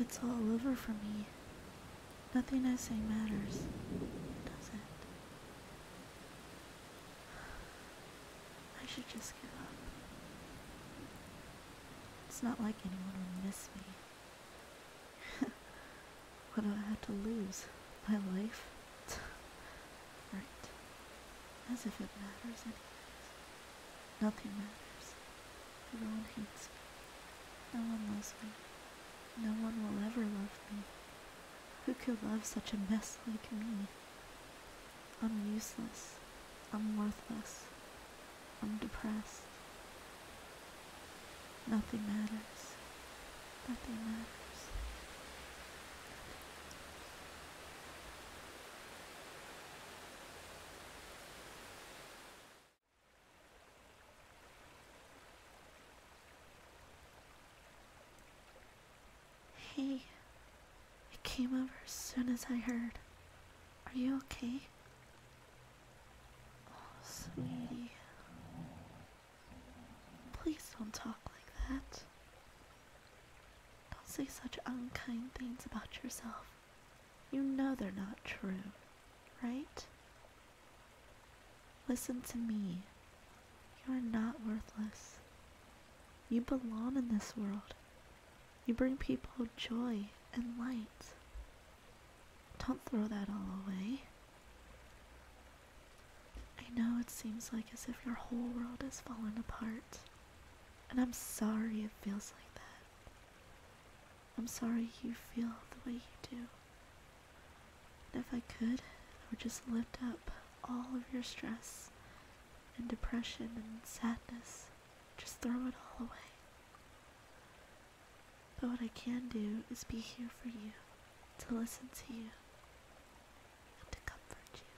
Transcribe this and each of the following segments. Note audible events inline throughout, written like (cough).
It's all over for me. Nothing I say matters, does it? I should just give up. It's not like anyone will miss me. (laughs) what do I have to lose? My life? right. As if it matters anyways. Nothing matters. No one hates me. No one loves me. No one will ever love me. Who could love such a mess like me? I'm useless. I'm worthless. I'm depressed. Nothing matters. Nothing matters. Hey, I came over as soon as I heard. Are you okay? Oh, sweetie. Please don't talk like that. Don't say such unkind things about yourself. You know they're not true, right? Listen to me. You are not worthless. You belong in this world. You bring people joy and light. Don't throw that all away. I know it seems like as if your whole world has fallen apart, and I'm sorry it feels like that. I'm sorry you feel the way you do. And if I could, I would just lift up all of your stress and depression and sadness. Just throw it all away. But what I can do is be here for you, to listen to you, and to comfort you.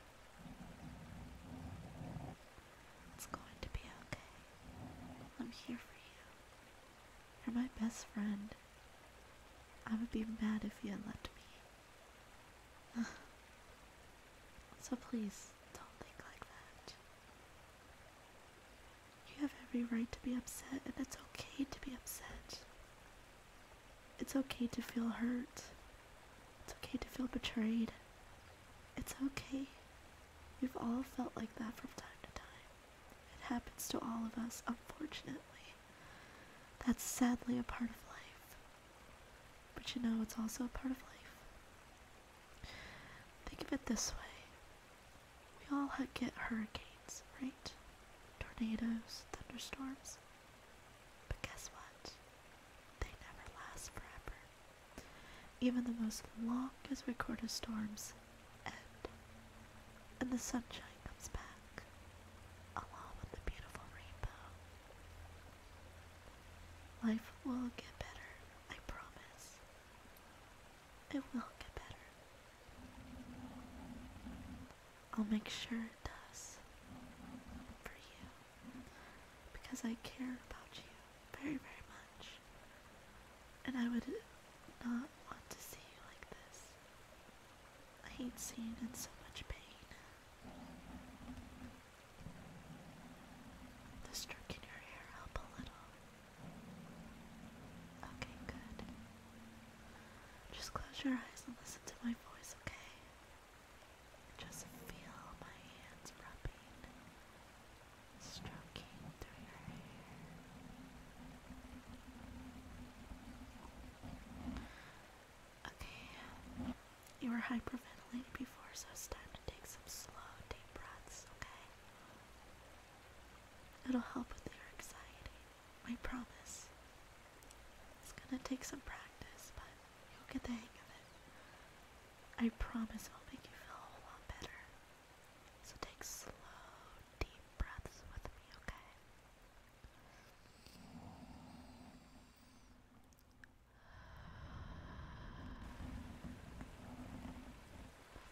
It's going to be okay. I'm here for you. You're my best friend. I would be mad if you had left me. (sighs) so please, don't think like that. You have every right to be upset, and it's okay to be upset. It's okay to feel hurt. It's okay to feel betrayed. It's okay. We've all felt like that from time to time. It happens to all of us, unfortunately. That's sadly a part of life. But you know, it's also a part of life. Think of it this way we all get hurricanes, right? Tornadoes, thunderstorms. But guess what? They never last forever. Even the most longest recorded storms end, and the sunshine comes back, along with the beautiful rainbow. Life will get better, I promise. It will get better. I'll make sure it does for you because I care about you very, very much, and I would not want to see you like this. I hate seeing you in so much pain. The stroke in your hair help a little. Okay, good. Just close your eyes and listen to my voice, okay? Just feel my hands rubbing, stroking through your hair. Okay, you were hyperventilating before, so it's time to take some slow, deep breaths, okay? It'll help with your anxiety. I promise. It's gonna take some practice, but you'll get the hang of it. I promise I'll make you feel a whole lot better. So take slow, deep breaths with me, okay?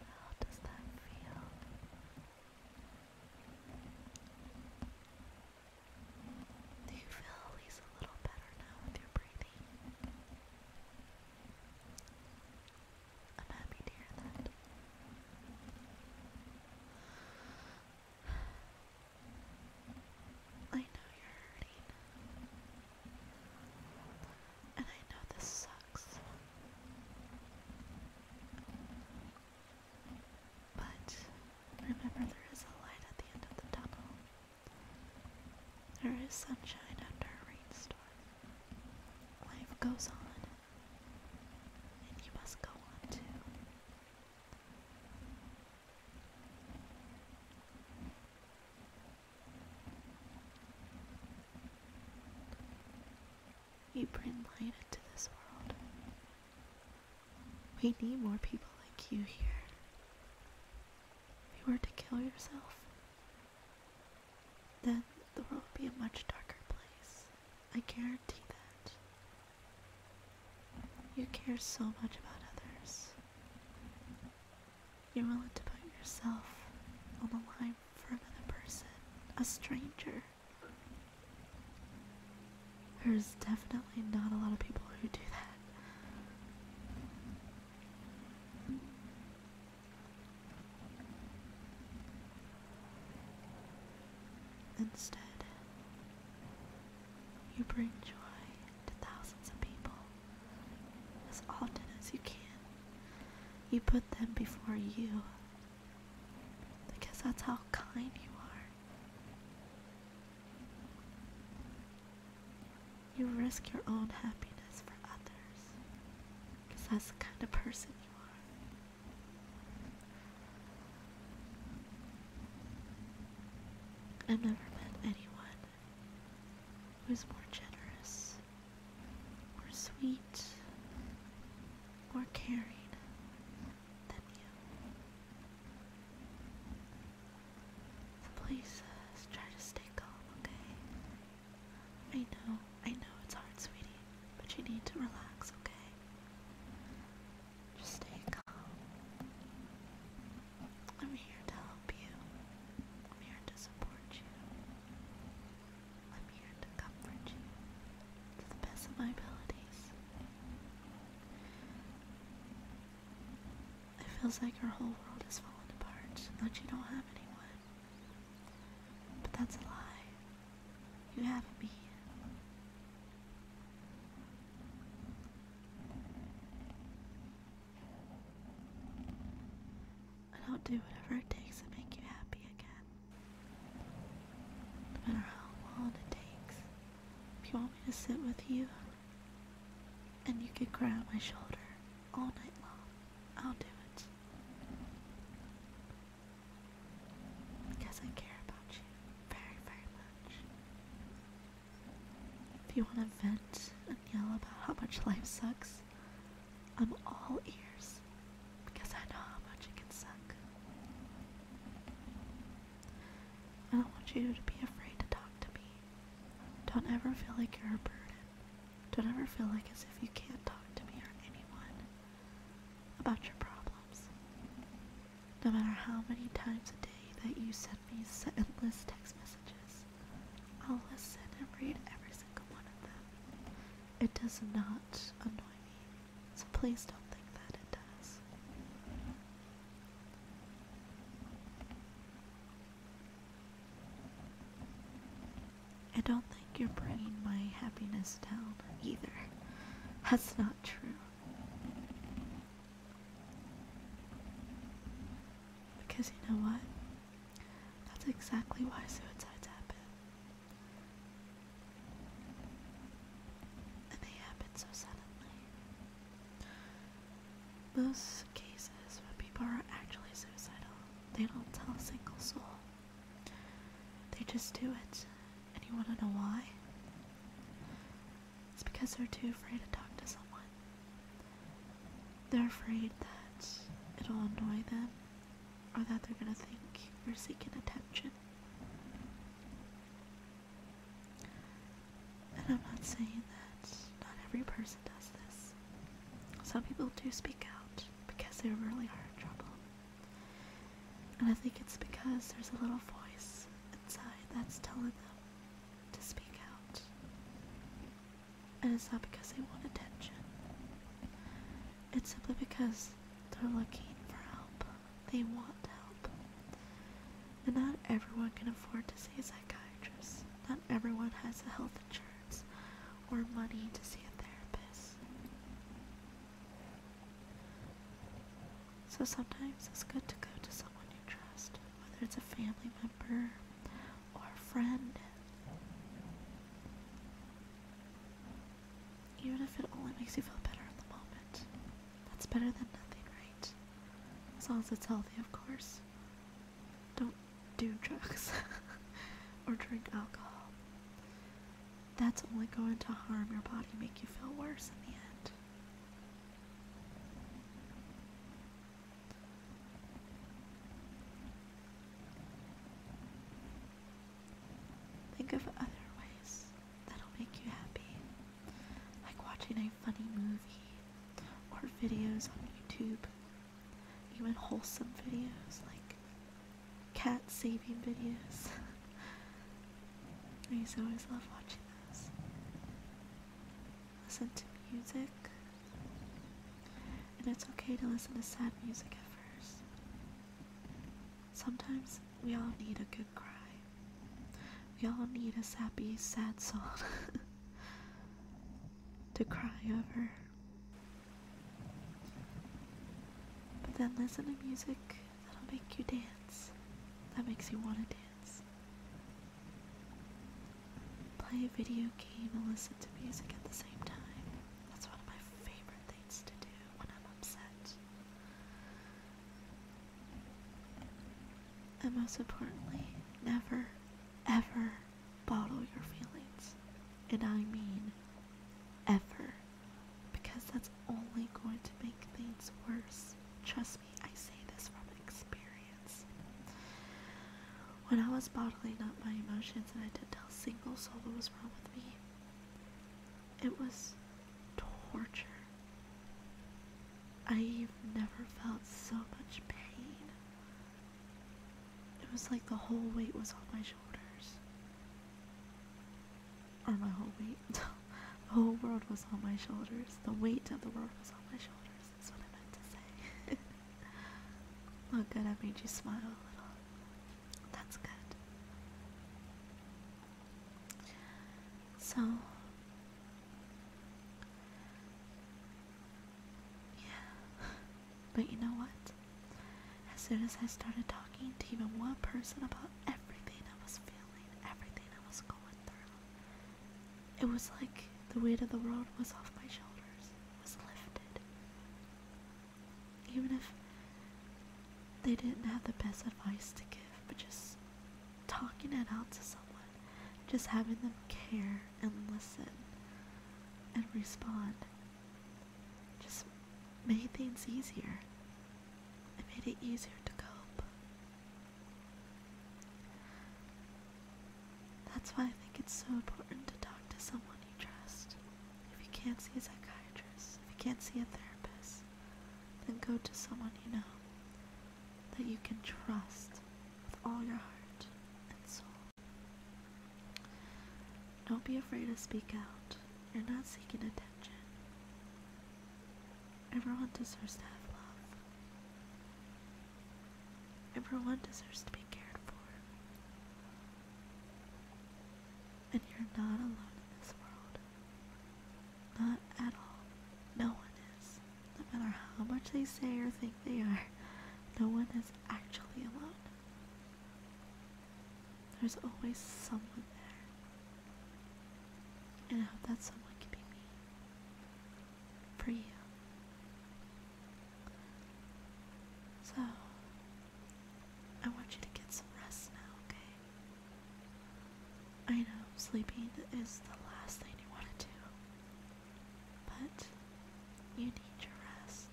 How does that feel? Do you feel at least a little better now with your breathing? I'm happy to hear that. I know you're hurting. And I know this sucks. But remember, there is a light at the end of the tunnel. There is sunshine after a rainstorm. Life goes on. And you must go on too. You bring light into this world. We need more people like you here. If you were to kill yourself, then the world would be a much darker place. I guarantee that. You care so much about others. You're willing to put yourself on the line for another person, a stranger. There's definitely not a lot of people who do that. Instead, you bring joy to thousands of people as often as you can. You put them before you because that's how kind you are. You risk your own happiness for others because that's the kind of person you are. I've never met anyone who's more generous, more sweet, more caring than you. So please try to stay calm, okay? I know, I know it's hard, sweetie, but you need to relax, okay? Just stay calm. I'm here to help you. I'm here to support you. I'm here to comfort you to the best of my abilities. It feels like your whole world has fallen apart and that you don't have anyone. But that's a lie. You have me. I'll do whatever it takes to make you happy again. No matter how long it takes. If you want me to sit with you and you can cry on my shoulder all night long, I'll do it. Because I care about you very, very much. If you want to vent and yell about how much life sucks, I'm all ears because I know how much it can suck. I don't want you to be afraid to talk to me. Don't ever feel like you're a burden. Don't ever feel like as if you can't talk to me or anyone about your problems no matter how many times a day that you send me endless text messages. I'll listen and read every single one of them. It does not annoy me, so please don't think that it does. I don't think you're bringing my happiness down either. That's not true. Because you know what? That's exactly why suicides happen. And they happen so suddenly. Most cases when people are actually suicidal, they don't tell a single soul. They just do it. And you want to know why? It's because they're too afraid to talk to someone. They're afraid that it'll annoy them or that they're gonna think you're seeking attention. And I'm not saying that not every person does this. Some people do speak out because they really are in trouble. And I think it's because there's a little voice inside that's telling them to speak out. And it's not because they want attention. It's simply because they're looking for help. They want help. And not everyone can afford to see a psychiatrist. Not everyone has a health insurance or money to see a therapist. So sometimes it's good to go to someone you trust, whether it's a family member or a friend. Even if it only makes you feel better in the moment, that's better than nothing, right? As long as it's healthy, of course. Don't do (laughs) drugs or drink alcohol. That's only going to harm your body, make you feel worse in the end. Think of other ways that'll make you happy, like watching a funny movie or videos on YouTube, even wholesome videos like cat saving videos. (laughs) I used to always love watching this. Listen to music. And it's okay to listen to sad music at first. Sometimes we all need a good cry. We all need a sappy, sad song (laughs) to cry over. But then listen to music That'll make you dance. That makes you want to dance. Play a video game and listen to music at the same time. That's one of my favorite things to do when I'm upset. And most importantly, never, ever bottle your feelings. And I mean ever because that's only going to make things worse. Trust me, I say this from experience. When I was bottling up my emotions and I didn't tell a single soul what was wrong with me, it was torture. I've never felt so much pain. It was like the whole weight was on my shoulders or my whole weight. (laughs) the whole world was on my shoulders. The weight of the world was on my shoulders. That's what I meant to say. (laughs) Look good, I made you smile a little. That's good. So, yeah. But you know what? As soon as I started talking to even one person about everything I was feeling, everything I was going through. It was like the weight of the world was off my shoulders, was lifted. Even if they didn't have the best advice to give, but just talking it out to someone, just having them care and listen and respond just made things easier. It made it easier to cope. That's why I think it's so important to talk to someone you trust. If you can't see a psychiatrist, if you can't see a therapist, then go to someone you know that you can trust with all your heart and soul. Don't be afraid to speak out. You're not seeking attention. Everyone deserves to have love. Everyone deserves to be cared for. And you're not alone in this world. Not at all. No one is. No matter how much they say or think they are, no one is actually alone. There's always someone there. And I hope that someone can be me. For you. So, I want you to get some rest now, okay? I know sleeping is the last thing you want to do. But you need your rest.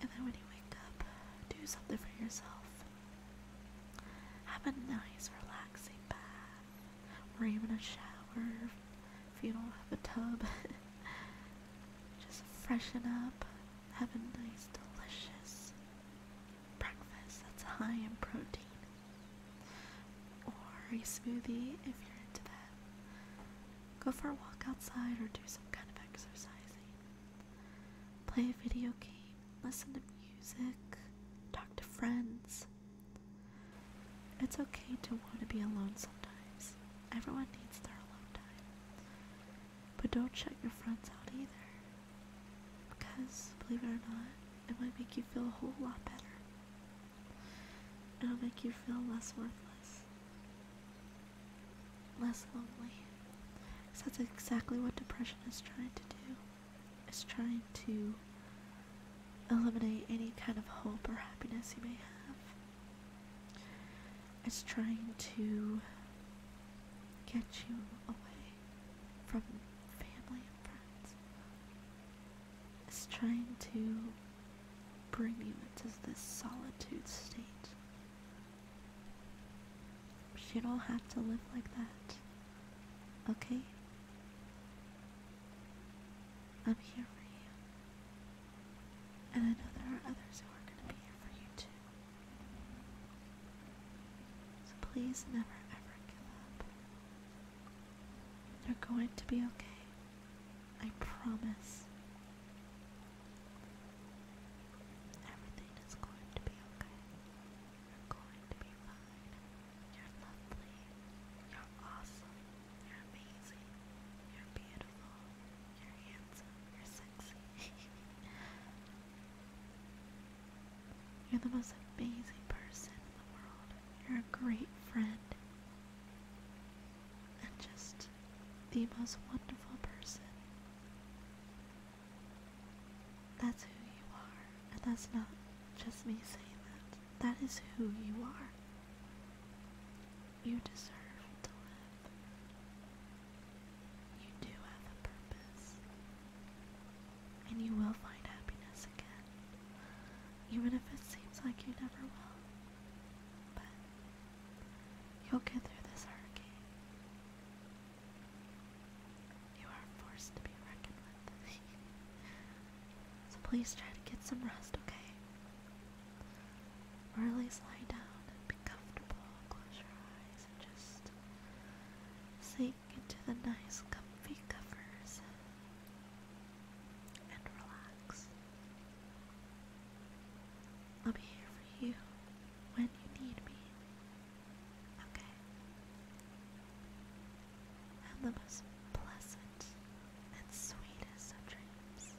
And then when you wake up, do something for yourself. Have a nice, relaxing bath, or even a shower if you don't have a tub. (laughs) Just freshen up. Have a nice, delicious breakfast that's high in protein. Or a smoothie if you're into that. Go for a walk outside or do some kind of exercising. Play a video game, listen to music, talk to friends. It's okay to want to be alone sometimes. Everyone needs their alone time. But don't shut your friends out either. Because, believe it or not, it might make you feel a whole lot better. It'll make you feel less worthless less lonely. that's exactly what depression is trying to do. It's trying to eliminate any kind of hope or happiness you may have. It's trying to get you away from family and friends. It's trying to bring you into this solitude state we should all have to live like that. Okay? I'm here for you. And I know there are others who are going to be here for you too. So please never ever give up. You're going to be okay. I promise. Everything is going to be okay. You're going to be fine. You're lovely. You're awesome. You're amazing. You're beautiful. You're handsome. You're sexy. (laughs) You're the most amazing person in the world. You're a great friend. And just the most wonderful person. That's who you are. And that's not just me saying that. That is who you are. You deserve to live. You do have a purpose. And you will find happiness again. Even if it seems like you never will. But You'll get through this hurricane. You are forced to be reckoned with. (laughs) so please try to get some rest, okay? Or at least lie down and be comfortable. Close your eyes and just sink into the nice comfy covers and relax. I'll be here for you when you need me. Okay. Have the most pleasant and sweetest of dreams.